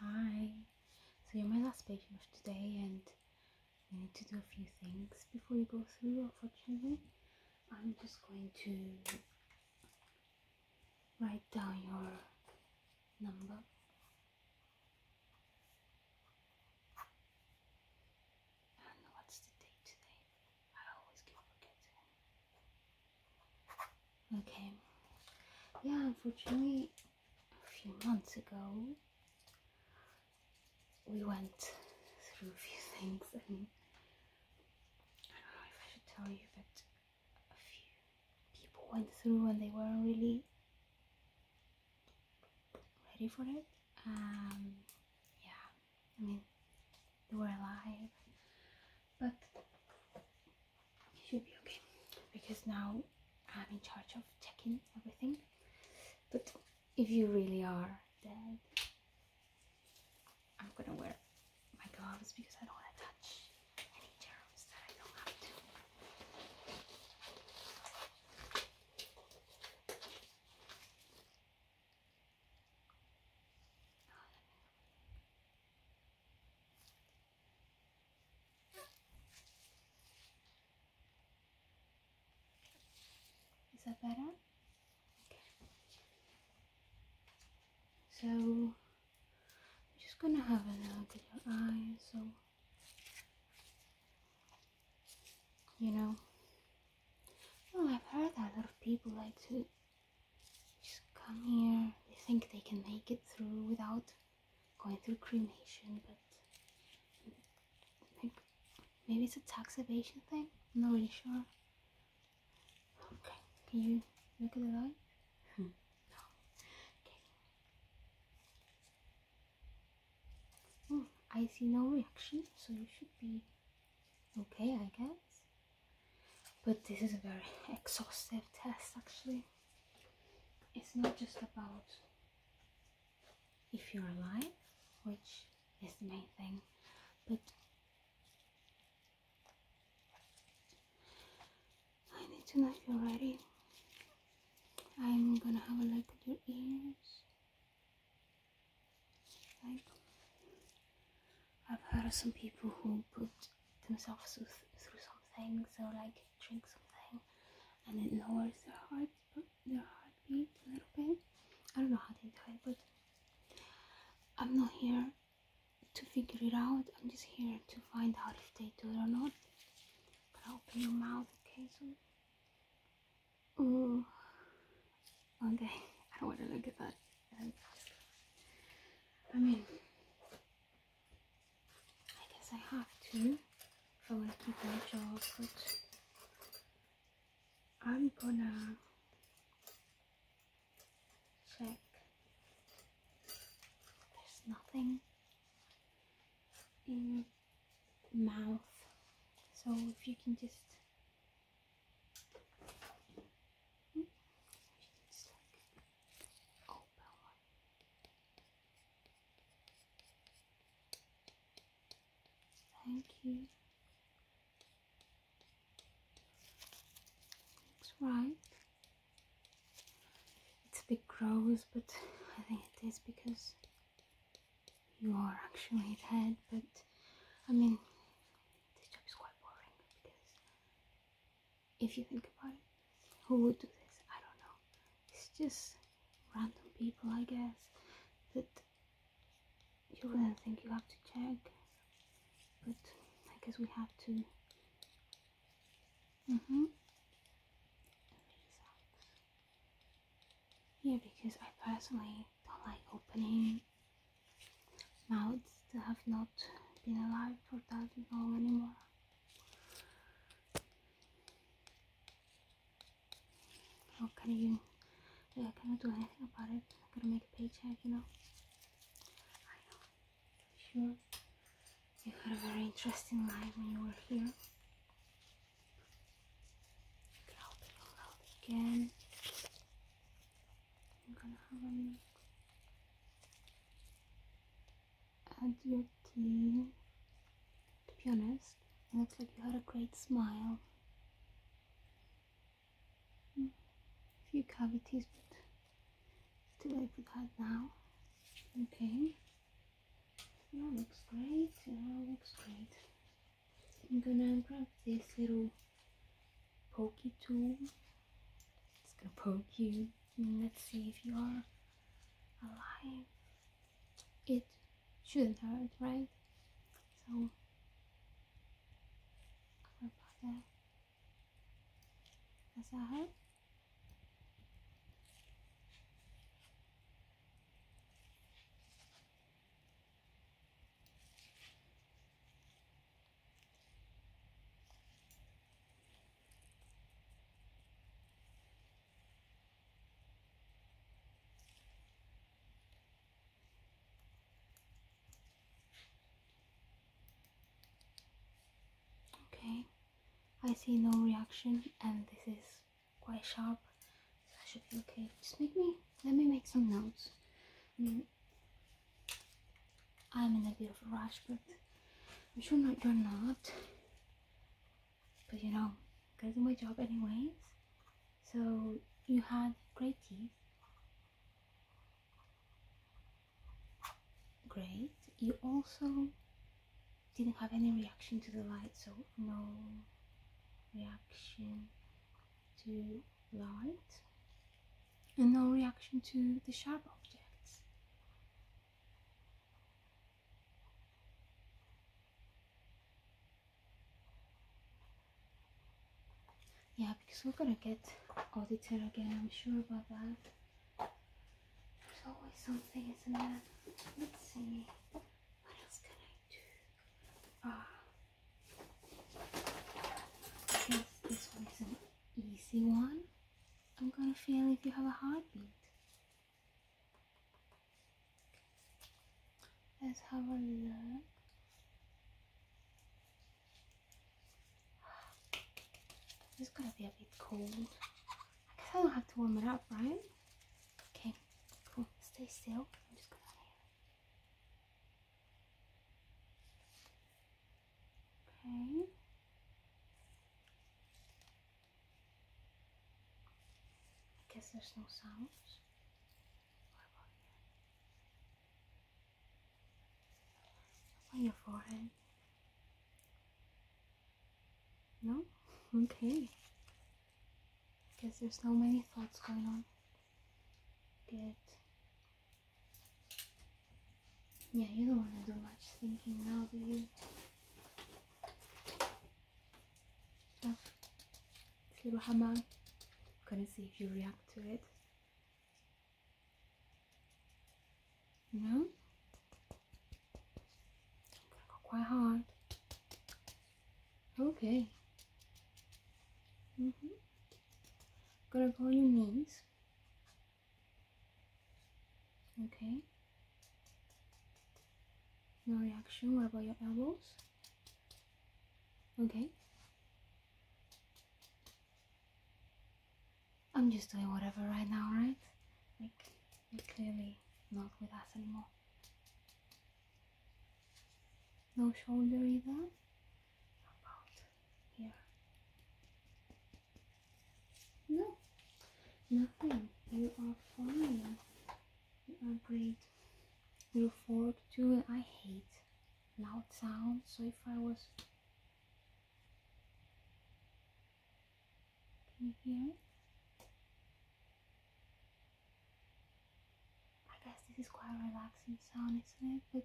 Hi. So you're my last patient of today and we need to do a few things before you go through unfortunately. I'm just going to write down your number. And what's the date today? I always keep forgetting. Okay. Yeah, unfortunately a few months ago, we went through a few things, and I don't know if I should tell you, that a few people went through and they weren't really ready for it. Um, yeah, I mean, they were alive, but you should be okay because now I'm in charge of checking everything. But if you really are dead, I'm gonna wear my gloves because I don't want to touch any germs that I don't have to. Is that better? So I'm just gonna have a look at your eyes, so you know. Oh, I've heard that a lot of people like to just come here. They think they can make it through without going through cremation, but maybe it's a tax evasion thing. I'm not really sure. Okay, can you look at the light? Hmm. No. Okay. Hmm, I see no reaction, so you should be okay, I guess. But this is a very exhaustive test, actually it's not just about if you're alive, which is the main thing, but I need to know if you're ready. I'm gonna have a look at your ears. Like, I've heard of some people who put themselves through, through something, so like drink something, and it lowers their heart their heartbeat a little bit. I don't know how they do it, but I'm not here to figure it out. I'm just here to find out if they do it or not. But open your mouth, okay? So, ooh, okay. I don't want to look at that. I mean, I guess I have to if I want to keep my job, but I'm gonna check. There's nothing in mouth, so if you can just hmm? Thank you. Looks right. It's a bit gross, but I think it is because you are actually dead. But I mean, this job is quite boring because if you think about it. Who would do this? I don't know. It's just random people, I guess, that you wouldn't think you have to check. But I guess we have to. Mm hmm. Yeah, because I personally don't like opening mouths that have not been alive for that long anymore. What can you do? I cannot do anything about it. I gotta make a paycheck, you know. I know. Sure. You had a very interesting life when you were here. Help you again. I'm gonna have a and your teeth. To be honest, it looks like you had a great smile. Hmm. A few cavities, but it's too late for that now. Okay. Your looks great. Your looks great. I'm gonna grab this little pokey tool. It's gonna poke you. Mm, let's see if you are alive it shouldn't hurt right so cover about that does that hurt Okay, I see no reaction and this is quite sharp, I should be okay. Just make me, let me make some notes. Mm. I'm in a bit of a rush, but I'm sure not you're not. But you know, that's my job anyways. So you had great teeth. Great. You also didn't have any reaction to the light, so no reaction to light and no reaction to the sharp objects. Yeah, because we're gonna get audited again, I'm sure about that. There's always something, isn't there? Let's see. What else can I do? Ah. I guess this one's an easy one. I'm gonna feel if you have a heartbeat. Let's have a look. It's gonna be a bit cold. I guess I do have to warm it up, right? Okay, cool. Stay still. I'm just gonna Okay. I guess there's no sounds. On your forehead. No? Okay. I guess there's so many thoughts going on. Good. Yeah, you don't want to do much thinking now, do you? Look, oh, it's little hammer. gonna see if you react to it. No? quite hard. Okay. Mm-hmm. Gonna go on your knees. Okay. No reaction. Where about your elbows? Okay. I'm just doing whatever right now, right? Like, you're clearly not with us anymore. No shoulder either. Yeah. No, nothing. You are fine. You are great. You look forward to I hate loud sounds, so if I was. Can you hear it? I guess this is quite a relaxing sound, isn't it? But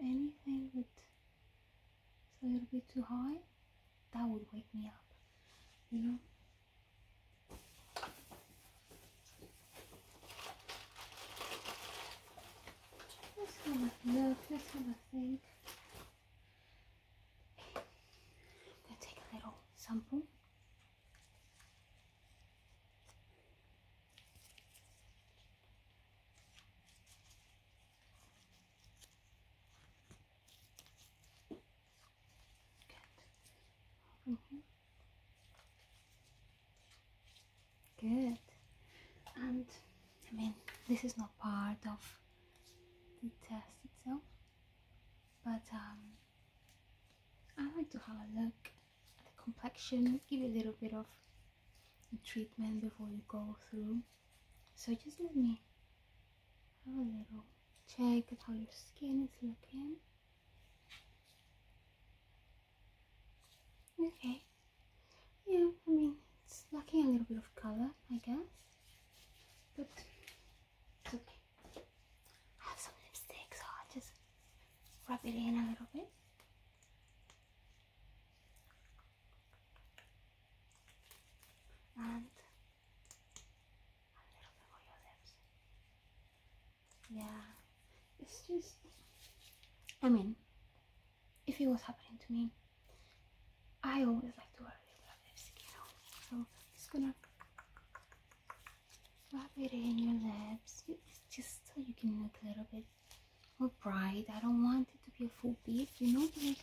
anything that is a little bit too high, that would wake me up, you know. Let's have a look, let's have a think. I'm take a little sample. Good. Over Good. And I mean, this is not part of the test itself, but um, I like to have a look at the complexion, give you a little bit of treatment before you go through. So just let me have a little check at how your skin is looking. Okay. Yeah, I mean, it's lacking a little bit of color, I guess. But it's okay. have some lipstick, so I'll just rub it in a little bit and a little bit on your lips. Yeah, it's just, I mean, if it was happening to me, I always like to worry about this, you know, so I'm just gonna rub it in your lips, just so you can look a little bit Oh, bright. I don't want it to be a full beat, you know. And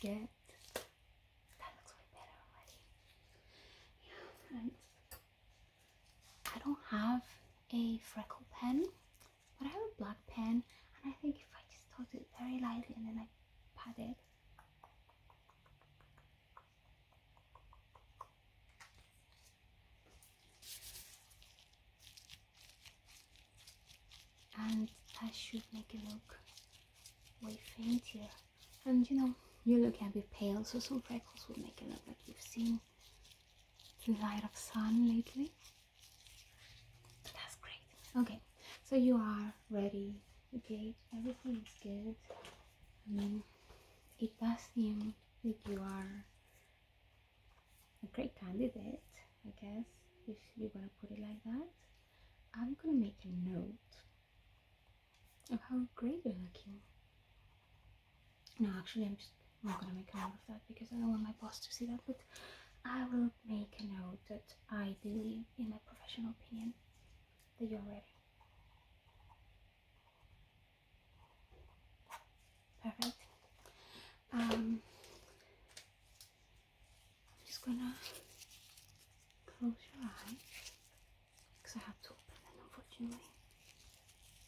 Get that looks way better already. Yeah, and I don't have a freckle pen, but I have a black pen, and I think if I just touch it very lightly and then I pat it and that should make it look way fainter and you know you're looking a bit pale so some freckles will make it look like you've seen the light of sun lately that's great okay so you are ready okay everything is good i mean it does seem I think you are a great candidate, I guess, if you're gonna put it like that. I'm gonna make a note of how great you're looking. No, actually, I'm just not gonna make a note of that because I don't want my boss to see that, but I will make a note that I believe, in my professional opinion, that you're ready. Perfect. Um, I'm just gonna close your eyes because I have to open them unfortunately,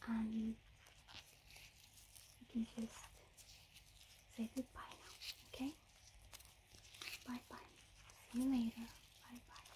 and you can just say goodbye now, okay? Bye bye. See you later. Bye bye.